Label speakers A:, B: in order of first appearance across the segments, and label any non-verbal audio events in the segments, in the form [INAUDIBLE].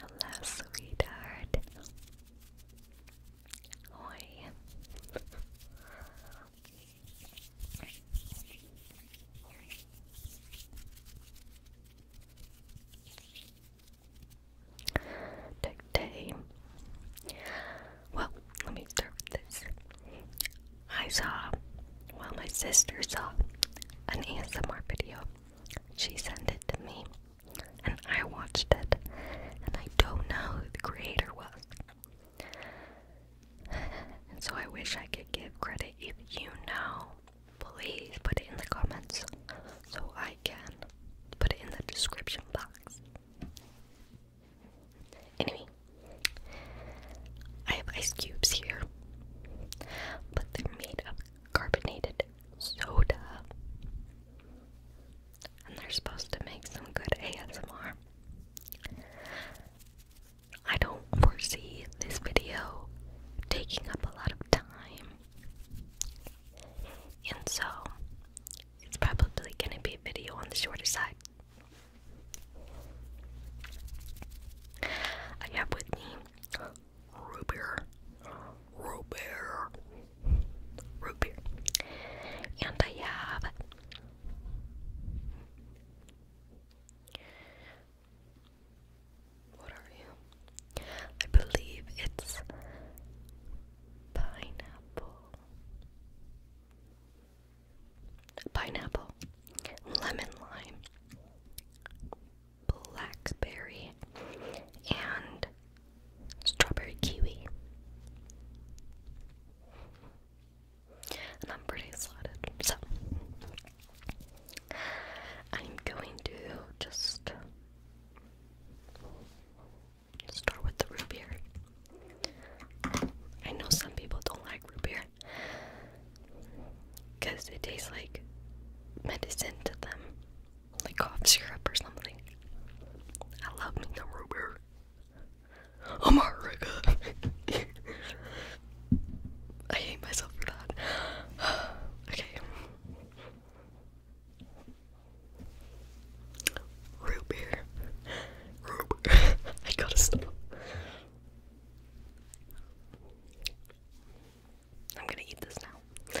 A: Hello, sweetheart. Oi. Today, well, let me start with this. I saw, well, my sister saw an ASMR video. She sent it to me, and I watched it, and I don't know who the creator was. And so I wish I could give credit if you know. Please put it in the comments so I can put it in the description box. Anyway, I have ice cubes here, but they're made of carbonated soda. And they're supposed to make some good ASMR. I don't foresee this video taking up a lot of time. And so, it's probably going to be a video on the shorter side. I have with me root beer, root beer, root beer, and I have what are you? I believe it's pineapple pineapple, lemon lime, blackberry, and strawberry kiwi. And I'm pretty excited. So, I'm going to just Start with the root beer. I know some people don't like root beer because it tastes like medicine to them, like cough syrup or something. I love me the root beer. I'm a god! [LAUGHS] I hate myself for that. [SIGHS] okay. Root beer. [LAUGHS] I gotta stop. I'm gonna eat this now.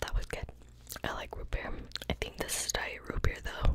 A: That was good. I like root beer. I think this is diet root beer though.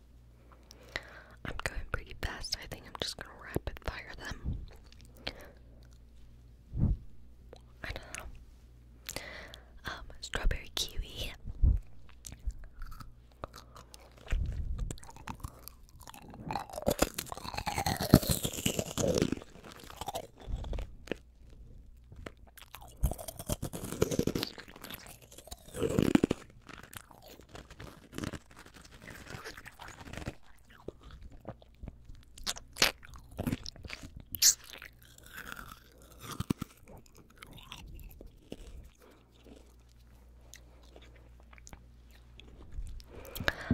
A: I'm going pretty fast. I think I'm just gonna rapid fire them. I know. Um, strawberry kiwi.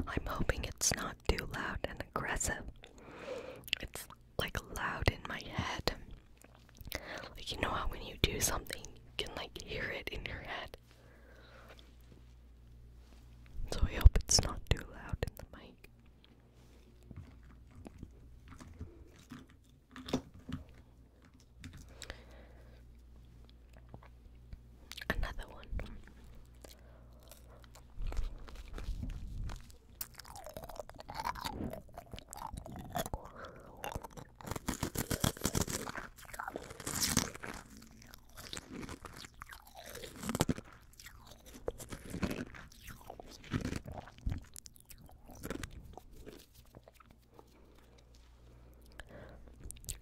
A: I'm hoping it's not too loud and aggressive. It's like loud in my head. Like, you know how when you do something, you can, like, hear it in your head? So I hope it's not too loud in the mic. Another one.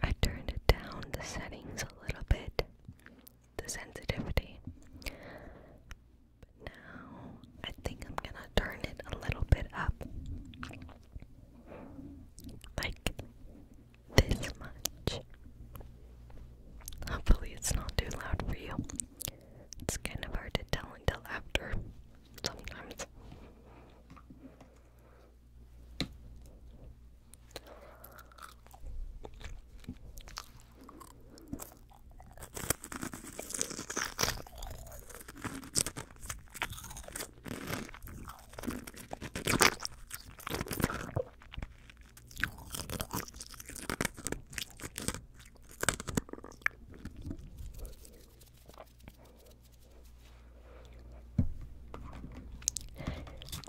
A: I turned down the settings a little bit, the sensitivity. But now I think I'm gonna turn it a little bit up. Like this much. Hopefully, it's not too loud for you. It's kind of hard to tell until after sometimes.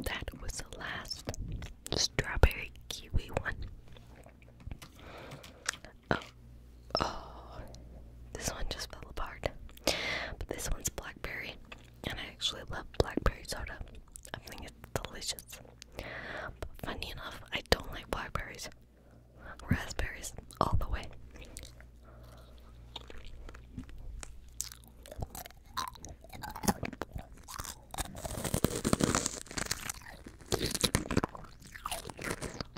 A: That was the last strawberry kiwi one. Oh, oh, this one just fell apart. But this one's blackberry, and I actually love blackberry soda. I think it's delicious. But funny enough, I don't like blackberries. Raspberries, all the way.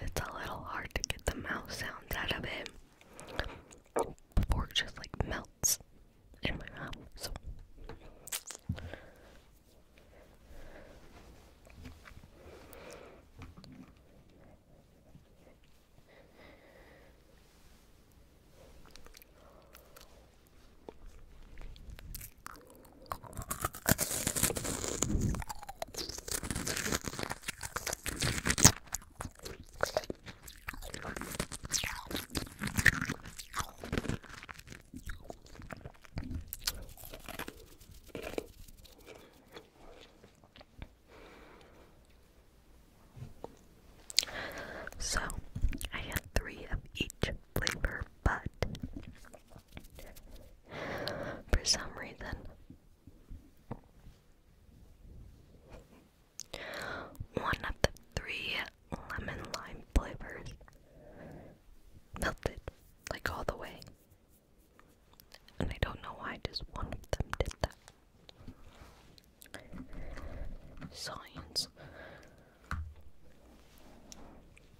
A: It's a little hard to get the mouth sounds out of it before just like melts in my mouth. So so, I had three of each flavor, but for some reason. One of the three lemon lime flavors melted like all the way. And I don't know why just one of them did that. Science.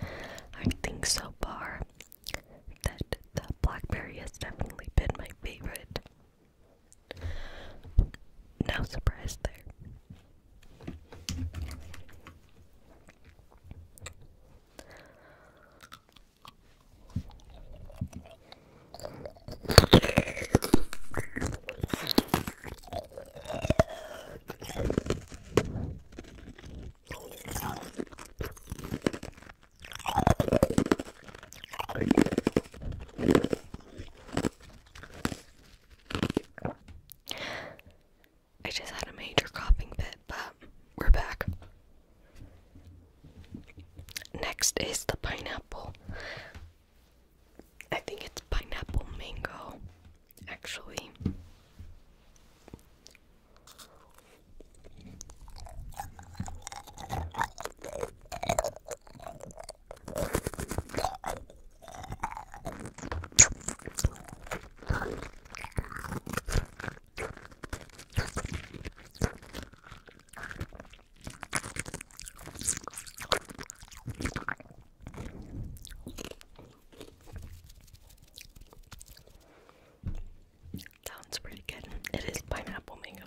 A: I think so far that the blackberry has definitely been my favorite. No surprise there. I just had a major coughing fit, but we're back. Next is the pineapple. I think it's pineapple mango, actually. Sounds pretty good. It is pineapple mango.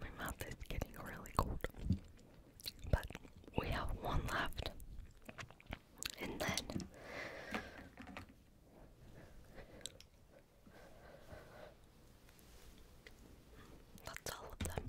A: My mouth is getting really cold. But we have one left. And then that's all of them.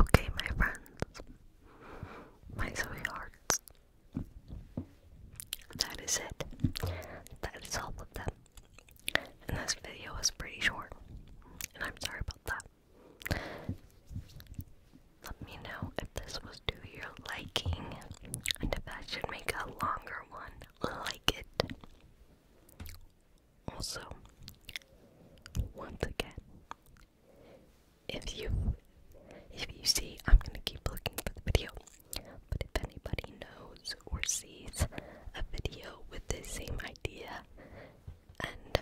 A: Okay, my friends, my sweethearts, that is it. That is all of them. And this video was pretty short, and I'm sorry about that. Let me know if this was to your liking, and if that should make a longer one like it. Also, once again, if you if you see, I'm gonna keep looking for the video. But if anybody knows or sees a video with the same idea, and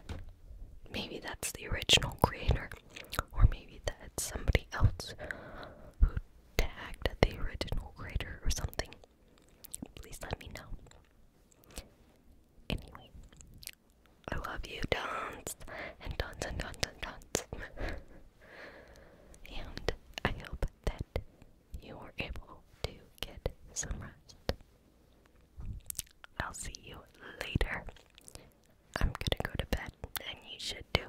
A: maybe that's the original creator, or maybe that's somebody else who tagged the original creator or something, please let me know. Anyway, I love you tons and tons and tons and tons. [LAUGHS] and I hope that you were able to get some rest. I'll see you later. I'm gonna go to bed, and you should too.